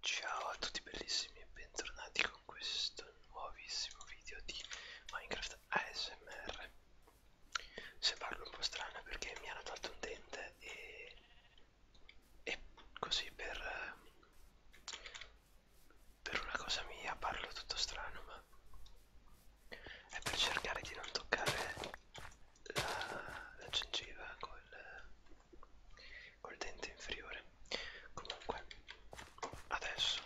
Ciao a tutti bellissimi e bentornati con questo nuovissimo video di Minecraft ASMR Se parlo un po' strano perché mi hanno tolto un dente e, e così per, per una cosa mia parlo tutto strano ma è per cercare di non toccare la, la gengiva col col dente inferiore comunque adesso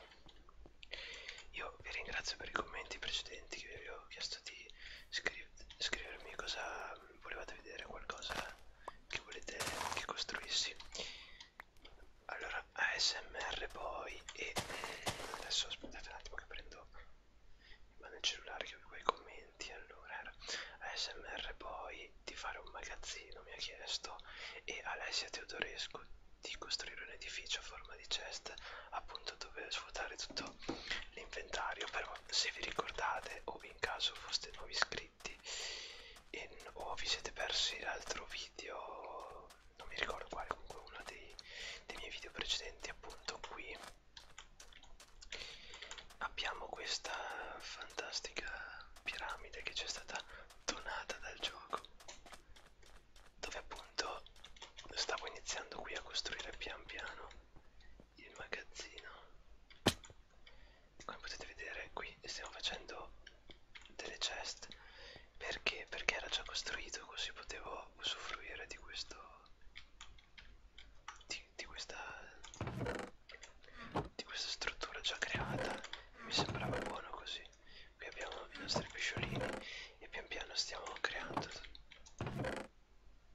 io vi ringrazio per i commenti precedenti che vi ho chiesto di scriv scrivermi cosa volevate vedere qualcosa che volete che costruissi allora ASMR poi e eh, adesso aspettate un attimo che prendo in mano il cellulare che ho quei commenti senti allora ASMR poi di fare un magazzino mi ha chiesto e Alessia Teodorescu di costruire un edificio a forma di chest appunto dove svuotare tutto l'inventario però se vi ricordate o in caso foste nuovi iscritti e, o vi siete persi l'altro video non mi ricordo quale comunque uno dei, dei miei video precedenti appunto qui abbiamo questa fantastica piramide che ci è stata donata dal gioco dove appunto stavo iniziando qui a costruire pian piano il magazzino come potete vedere qui stiamo facendo delle chest perché perché era già costruito così potevo usufruire di questo di di, di, questa, di questa struttura già creata e mi sembrava buono così qui abbiamo i nostri pesciolini e pian piano stiamo creando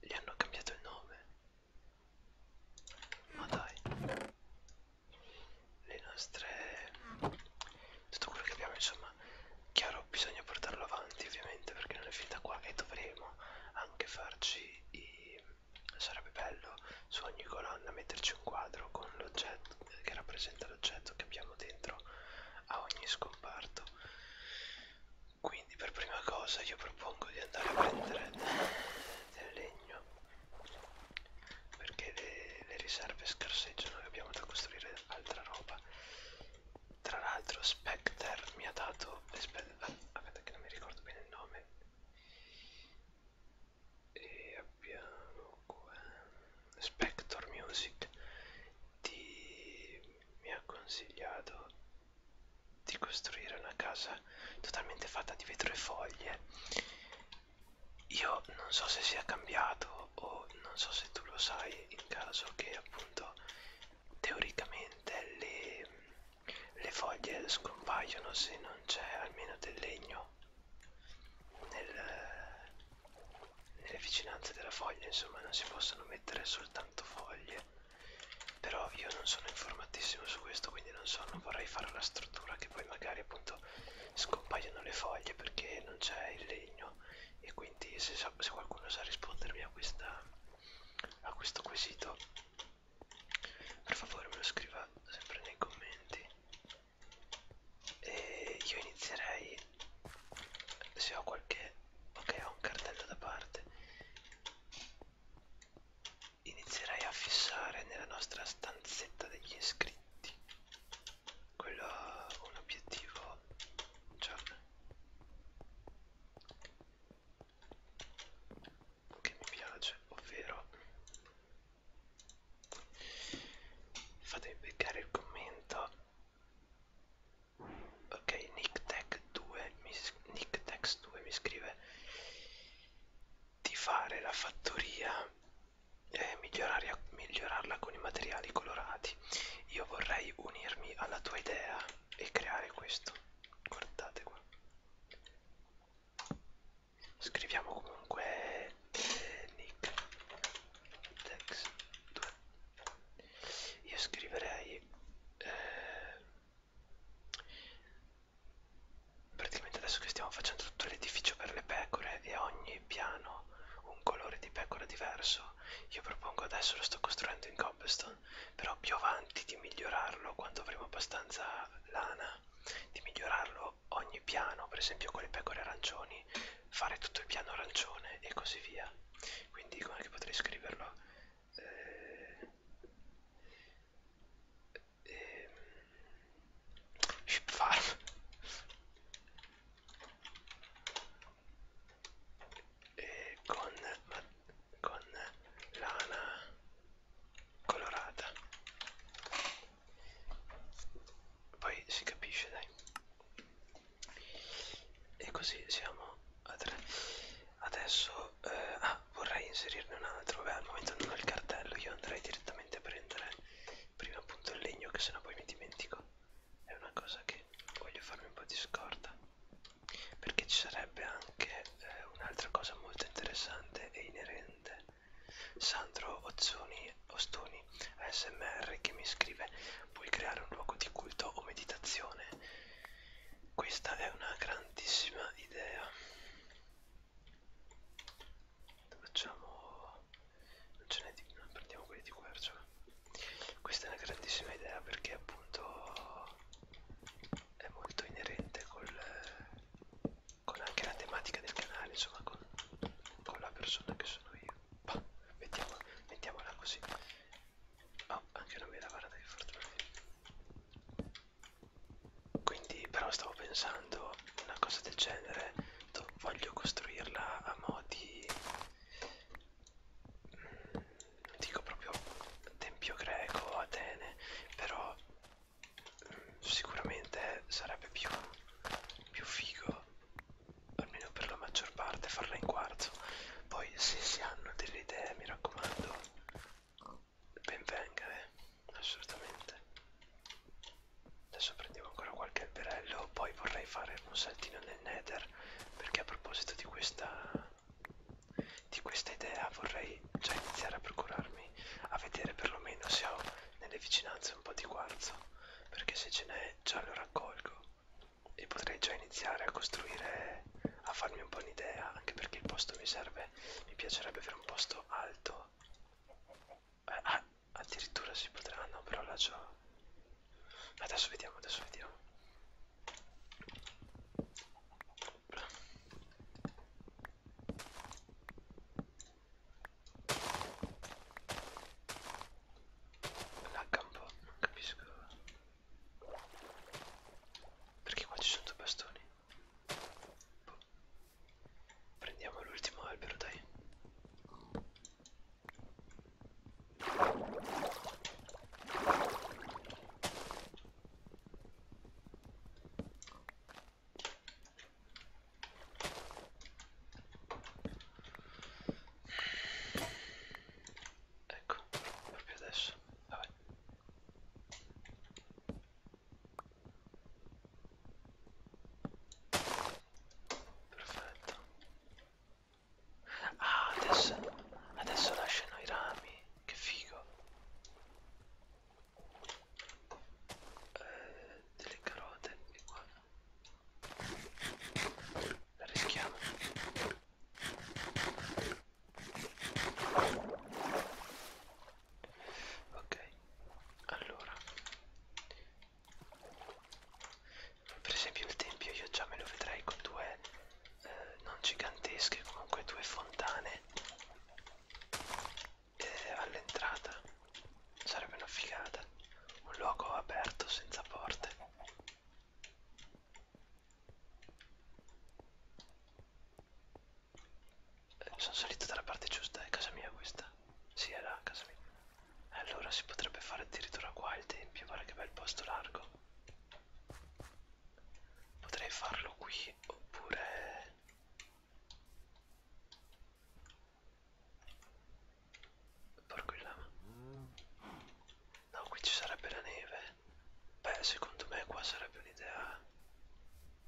gli hanno cambiato il nome ma dai le nostre tutto quello che abbiamo insomma chiaro bisogna portarlo avanti ovviamente perché non è finita qua e dovremo anche farci i sarebbe bello su ogni colonna metterci un quadro con l'oggetto che rappresenta l'oggetto che abbiamo dentro a ogni scomparto quindi per prima cosa io propongo di andare a prendere del legno perché le, le riserve scarseggiano e abbiamo da costruire altra roba tra l'altro Specter mi ha dato ah, aspetta che non mi ricordo bene il nome e abbiamo qua Spector Music di... mi ha consigliato di costruire una casa totalmente fatta di vetro e foglie io non so se sia cambiato o non so se tu lo sai in caso che appunto teoricamente le le foglie scompaiono se non c'è almeno del legno nel, nelle vicinanze della foglia, insomma non si possono mettere soltanto foglie. Però io non sono informatissimo su questo, quindi non so, non vorrei fare la struttura che poi magari appunto scompaiono le foglie perché non c'è il legno e quindi se, se qualcuno sa rispondermi a, questa, a questo quesito per favore me lo scriva sempre nei commenti e io inizierei se ho qualche ok ho un cartello da parte inizierei a fissare nella nostra stanzetta degli iscritti quello ha un obiettivo cioè che mi piace, ovvero fatemi beccare il commento ok NickTech2 NickTex2 mi scrive di fare la fattoria e migliorarla con i materiali colorati io vorrei unirmi alla tua idea e creare questo guardate qua scriviamo comunque eh, nick dex 2 io scriverei eh, praticamente adesso che stiamo facendo tutto l'edificio per le pecore e ogni piano un colore di pecora diverso io propongo adesso lo sto costruendo in cobblestone però più avanti di migliorarlo quando avremo abbastanza lana di migliorarlo ogni piano per esempio con le pecore arancioni fare tutto il piano arancione e così via quindi come che potrei scriverlo eh, eh, ship farm e con, con lana colorata poi si capisce dai e così siamo a tre adesso eh, ah, vorrei inserirne un altro beh al momento non ho il cartello io andrei direttamente a prendere prima appunto il legno che sennò poi mi dimentico è una cosa che voglio farmi un po' di scorta perché ci sarebbe anche eh, un'altra cosa molto interessante e inerente Sandro Ozzoni, Ostoni ASMR che mi scrive puoi creare un luogo di culto o meditazione questa è una grandissima idea facciamo non ce n'è di non prendiamo quelli di quercia questa è una grandissima idea perché appunto è molto inerente col, con anche la tematica del canale, insomma con, con la persona che sono io. Bah, mettiamo, mettiamola così. Oh, anche una mela guarda che fortuna. Quindi però stavo pensando una cosa del genere, voglio costruirla a modi mm, non dico proprio tempio greco, Atene, però sicuramente sarebbe più, più figo almeno per la maggior parte farla in quarzo poi se si hanno delle idee mi raccomando ben venga eh? assolutamente adesso prendiamo ancora qualche alberello poi vorrei fare un saltino nel nether perché a proposito di questa di questa idea vorrei già iniziare a procurarmi a vedere perlomeno se ho nelle vicinanze un po' di quarzo perché se ce n'è già lo raccolgo e potrei già iniziare a costruire a farmi un po' un'idea anche perché il posto mi serve mi piacerebbe avere un posto alto eh, ah, addirittura si potrà no però là già adesso vediamo adesso vediamo sopra lagga un po', non capisco perché qua ci sono due bastoni boh. prendiamo l'ultimo albero dai Ecco, proprio adesso. Vabbè. Perfetto. Ah, adesso, adesso lasciano i rami. Che figo eh, delle carote e qua la rischiamo ok allora per esempio il tempio io già me lo vedrei con due eh, non gigantesche comunque due fontane eh, all'entrata sarebbe una figata un luogo aperto senza porte eh, sono salito dalla parte giusta è casa mia questa si sì, era casa mia allora si potrebbe fare addirittura qua il tempio guarda che bel posto largo Potrei farlo qui oppure... Porco il lama. No, qui ci sarebbe la neve. Beh, secondo me qua sarebbe un'idea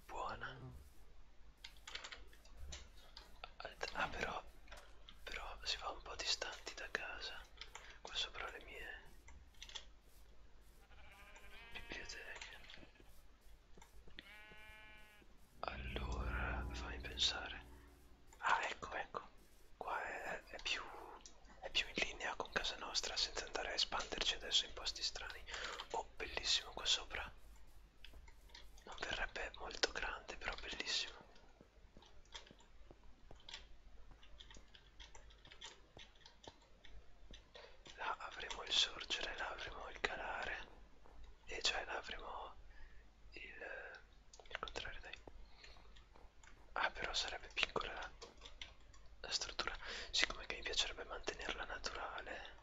buona. Ah, però... Però si va un po' distanti da casa. Qua sopra le mie biblioteche allora fammi pensare ah ecco ecco qua è, è più è più in linea con casa nostra senza andare a espanderci adesso in posti strani oh bellissimo qua sopra non verrebbe molto grande però bellissimo là avremo il sorgere, là avremo il calare e cioè là avremo il, il contrario dai ah però sarebbe piccola la, la struttura siccome che mi piacerebbe mantenerla naturale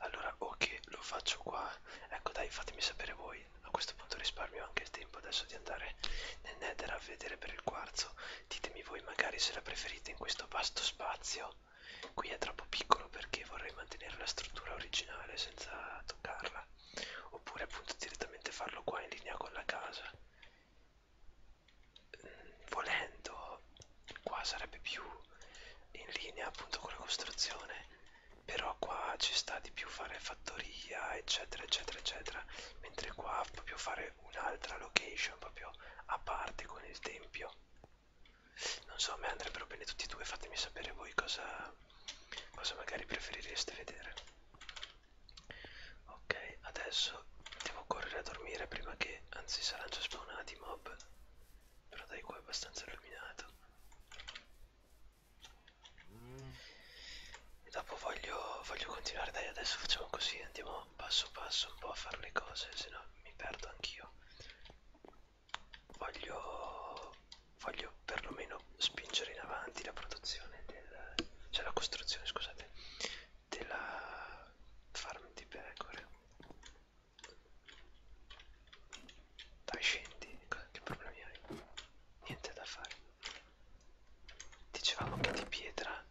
allora o okay, che lo faccio qua ecco dai fatemi sapere voi a questo punto risparmio anche il tempo adesso di andare nel nether a vedere per il quarzo ditemi voi magari se la preferite in questo vasto spazio qui è troppo piccolo perché vorrei mantenere la struttura originale senza toccarla oppure appunto direttamente farlo qua in linea con la casa mm, volendo qua sarebbe più in linea appunto con la costruzione però qua ci sta di più fare fattoria eccetera eccetera eccetera mentre qua proprio fare oppure un'altra location proprio a parte con il tempio non so a me andrebbero bene tutti e due fatemi sapere voi cosa, cosa magari preferireste vedere ok adesso devo correre a dormire prima che anzi saranno già spawnati i mob però dai qua è abbastanza illuminato e dopo voglio, voglio continuare dai adesso facciamo così andiamo andiamo passo passo un po' a fare le cose, se no mi perdo anch'io. Voglio, voglio perlomeno spingere in avanti la produzione del, cioè la costruzione, scusate, della farm di pecore. Dai scendi, che problemi hai? Niente da fare. Dicevamo che di pietra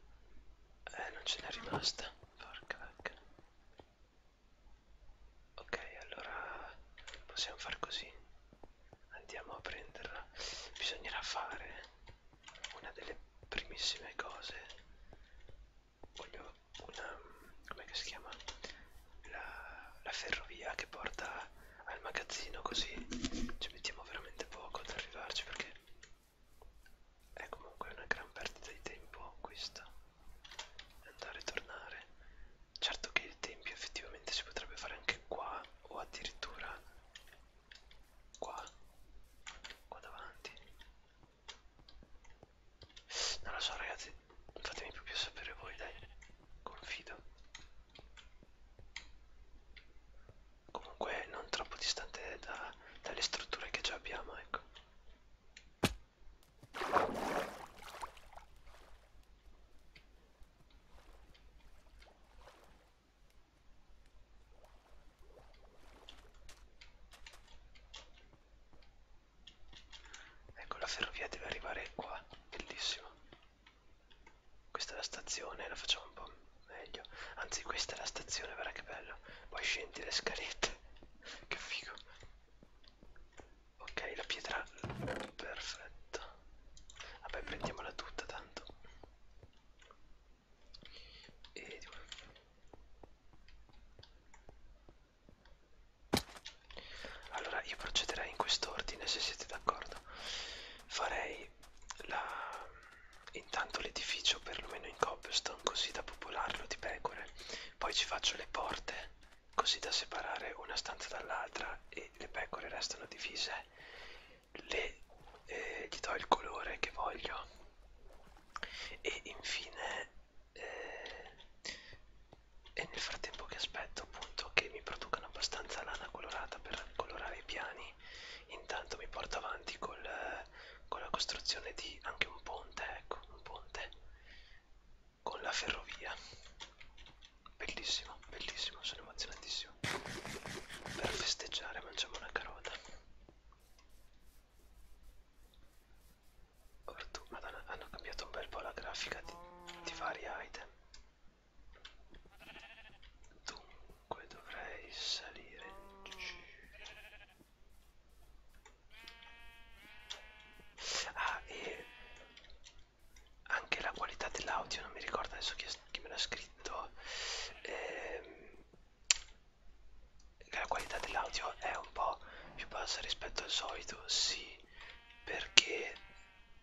eh, non ce n'è rimasta. Porca vacca. Ok, allora possiamo far così. Andiamo a prenderla. Bisognerà fare una delle primissime cose. Voglio una... come si chiama? La, la ferrovia che porta al magazzino così ci mettiamo veramente poco ad arrivarci perché è comunque una gran perdita di tempo questa andare e tornare certo che il tempio effettivamente si potrebbe fare anche qua o addirittura qua qua davanti non lo so ragazzi fatemi proprio sapere voi dai confido comunque non troppo distante da, dalle strutture che già abbiamo ecco Ecco la ferrovia deve arrivare qua, bellissimo. Questa è la stazione, la facciamo un po' meglio anzi questa è la stazione guarda che bello poi scendi le scalette che figo ok la pietra perfetto vabbè prendiamola tutta tanto e due allora io procederei in quest'ordine se siete d'accordo farei la Intanto l'edificio perlomeno in cobblestone così da popolarlo di pecore. Poi ci faccio le porte così da separare una stanza dall'altra e le pecore restano divise. Le, eh, gli do il colore che voglio. E infine... Eh, e nel frattempo che aspetto appunto che mi producano abbastanza lana colorata per colorare i piani, intanto mi porto avanti col, eh, con la costruzione di anche un ponte, ecco, un ponte con la ferrovia. Bellissimo, bellissimo, sono emozionatissimo. Per festeggiare mangiamo una carota. Ortù, madonna, hanno cambiato un bel po' la grafica di, di vari item. Dunque dovrei salire. Ah, e anche la qualità dell'audio, non mi ricordo adesso chi, chi me l'ha scritto. Ehm, la qualità dell'audio è un po' più bassa rispetto al solito, sì, perché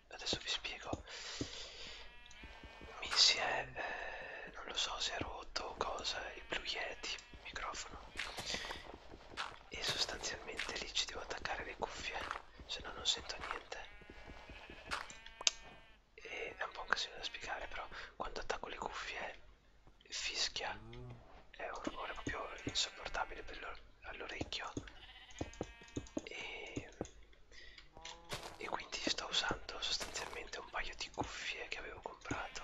adesso vi spiego. Mi si è, eh, non lo so se è rotto o cosa il Blue Yeti microfono e sostanzialmente lì ci devo attaccare le cuffie se no non sento niente e è un po' un casino da spiegare però quando attacco le cuffie fischia è un rumore proprio insopportabile all'orecchio e, e quindi sto usando sostanzialmente un paio di di cuffie che avevo comprato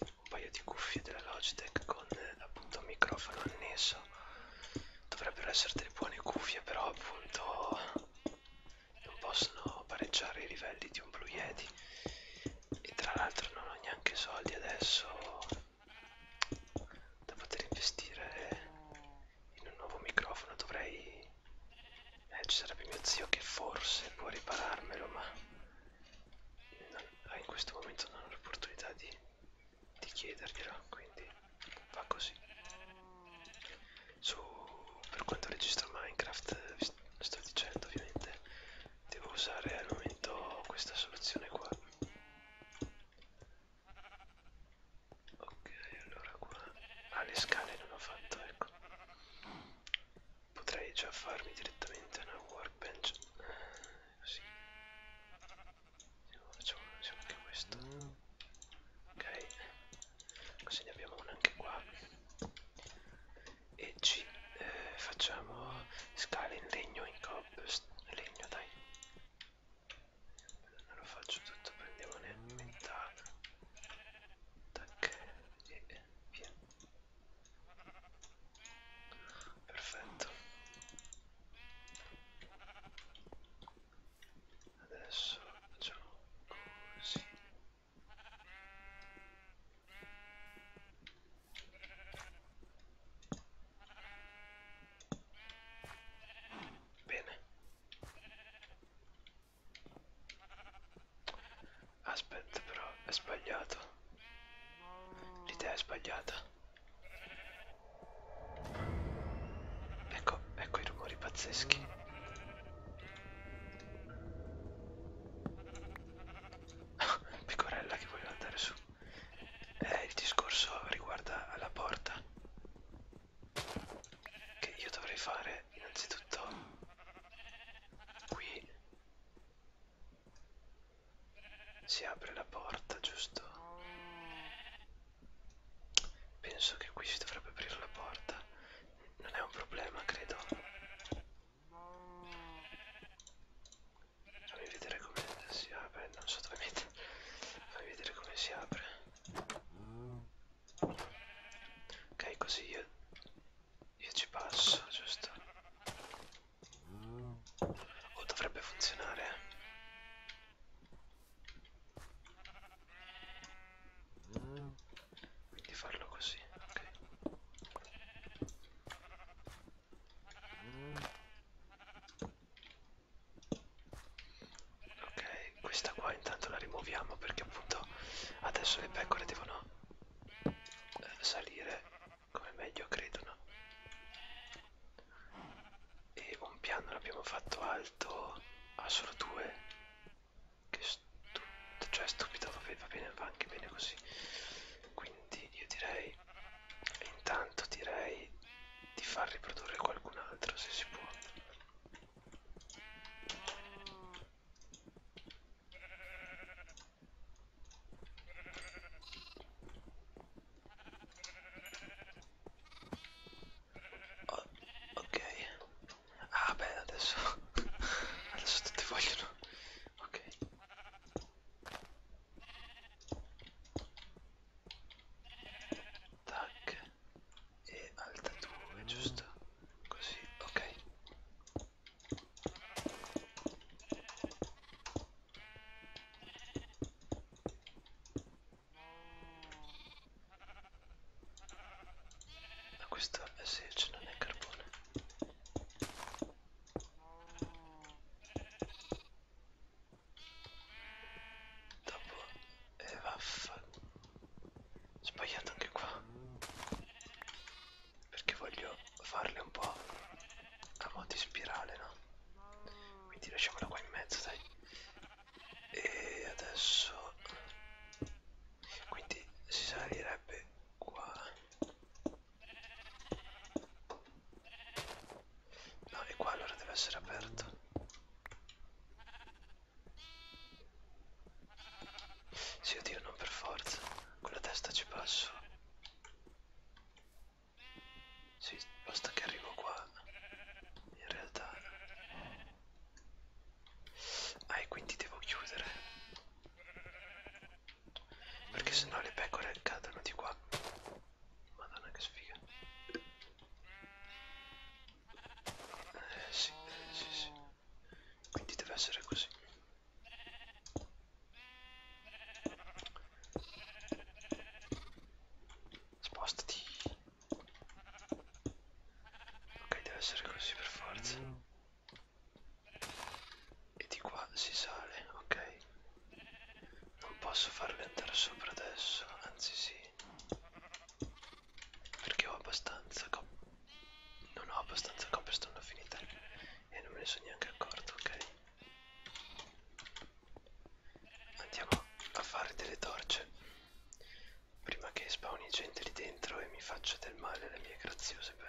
un paio di cuffie della Logitech con appunto un microfono annesso dovrebbero essere delle buone cuffie però appunto non possono pareggiare i livelli di un Blue Yeti e tra l'altro non ho neanche soldi adesso da poter investire in un nuovo microfono dovrei eh, ci sarebbe mio zio che forse può ripararmelo, ma non, ah, in questo momento non ho l'opportunità di, di chiederglielo, quindi va così. Su, per quanto registro Minecraft, vi sto dicendo ovviamente, devo usare al momento questa soluzione qua. Ok, allora qua... Ah, le scale non ho fatto, ecco potrei già farmi direttamente una workbench eh, così facciamo, facciamo anche questo ok così ne abbiamo una anche qua e ci eh, facciamo scale in legno in cobblestone legno dai non lo faccio tutto prendiamo metà tac e via. Perfetto. Adesso facciamo così. Bene. Aspetta però, è sbagliato. L'idea è sbagliata. Ecco, ecco i rumori pazzeschi. Ah, pecorella che voleva andare su. Eh, il discorso riguarda la porta. Che io dovrei fare Beh, innanzitutto qui si apre la porta, giusto? Penso che qui si dovrebbe aprire la porta. Non è un problema, credo. Fammi vedere come si apre, non so dove mettere. Fammi vedere come si apre. Ok, così io io ci passo, giusto? O oh, dovrebbe funzionare. Quindi farlo così, ok. Ok, questa qua intanto la rimuoviamo perché appunto adesso le pecore devono salire come meglio credono e un piano l'abbiamo fatto alto a solo due che stu cioè stupido va bene va anche bene così quindi io direi intanto direi di far riprodurre qualcun altro se si può Oh, ok. Ah beh, adesso adesso tutti vogliono. Ok. Tac e alta 2, giusto? Così, ok. Ma questa eh sì, cioè non è carbone. Dopo e eh, vaffa. Sbagliato anche qua perché voglio farle un po' a modo di spirale, no? Quindi lasciamola qua in mezzo, dai. E adesso... Quindi si salirebbe qua. No, e qua allora deve essere aperto. Sì, oddio, non per forza. Con la testa ci passo. Sì, basta che arrivo qua. In realtà. Ah, e quindi devo chiudere. Perché sennò le pecore cadono di qua. Madonna che sfiga. Eh sì, eh, sì, sì quindi deve essere così spostati ok deve essere così per forza e di qua si sale ok non posso farle andare sopra adesso anzi sì perché ho abbastanza non ho abbastanza copie, stanno finite e non me ne sono neanche accorto, ok? Andiamo a fare delle torce prima che spawni gente lì dentro e mi faccia del male alle mie graziose pecore.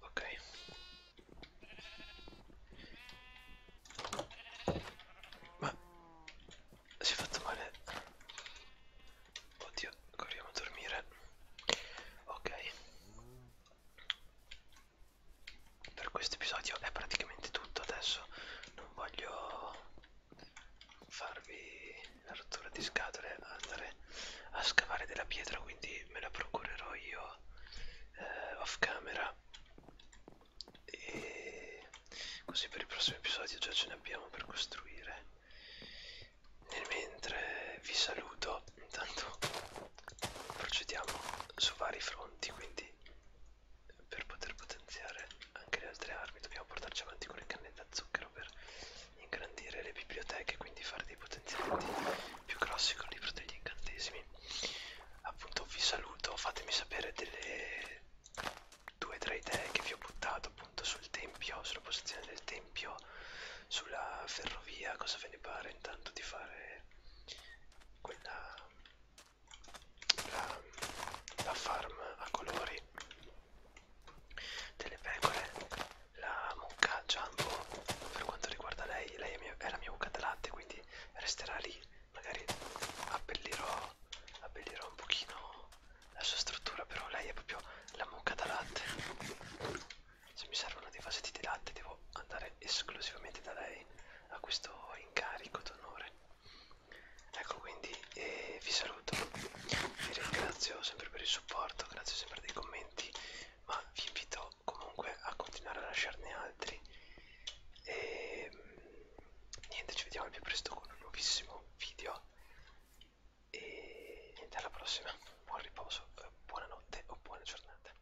Ok. Ma si è fatto male. Oddio, corriamo a dormire. Ok per questo episodio è praticamente tutto adesso non voglio farvi la rottura di scatole andare a scavare della pietra quindi me la procurerò io eh, off camera e così per il prossimo episodio già ce ne abbiamo per costruire nel mentre vi saluto intanto procediamo su vari fronti quindi quindi per poter potenziare anche le altre armi dobbiamo portarci avanti con le cannette a zucchero per ingrandire le biblioteche quindi fare dei potenziamenti più grossi con il libro degli incantesimi appunto vi saluto fatemi sapere delle due o tre idee che vi ho buttato appunto sul tempio sulla posizione del tempio sulla ferrovia cosa ve ne pare intanto di fare quella la, la farm a colori delle pecore, la mucca Jumbo per quanto riguarda lei, lei è, mia, è la mia mucca da latte quindi resterà lì, magari abbellirò, abbellirò un pochino la sua struttura però lei è proprio la mucca da latte se mi servono dei vasetti di latte devo andare esclusivamente da lei a questo incarico d'onore ecco quindi eh, vi saluto vi ringrazio sempre per il supporto grazie sempre dei commenti ma vi invito comunque a continuare a lasciarne altri e ehm, niente ci vediamo al più presto con un nuovissimo video e niente alla prossima buon riposo eh, buonanotte o buona giornata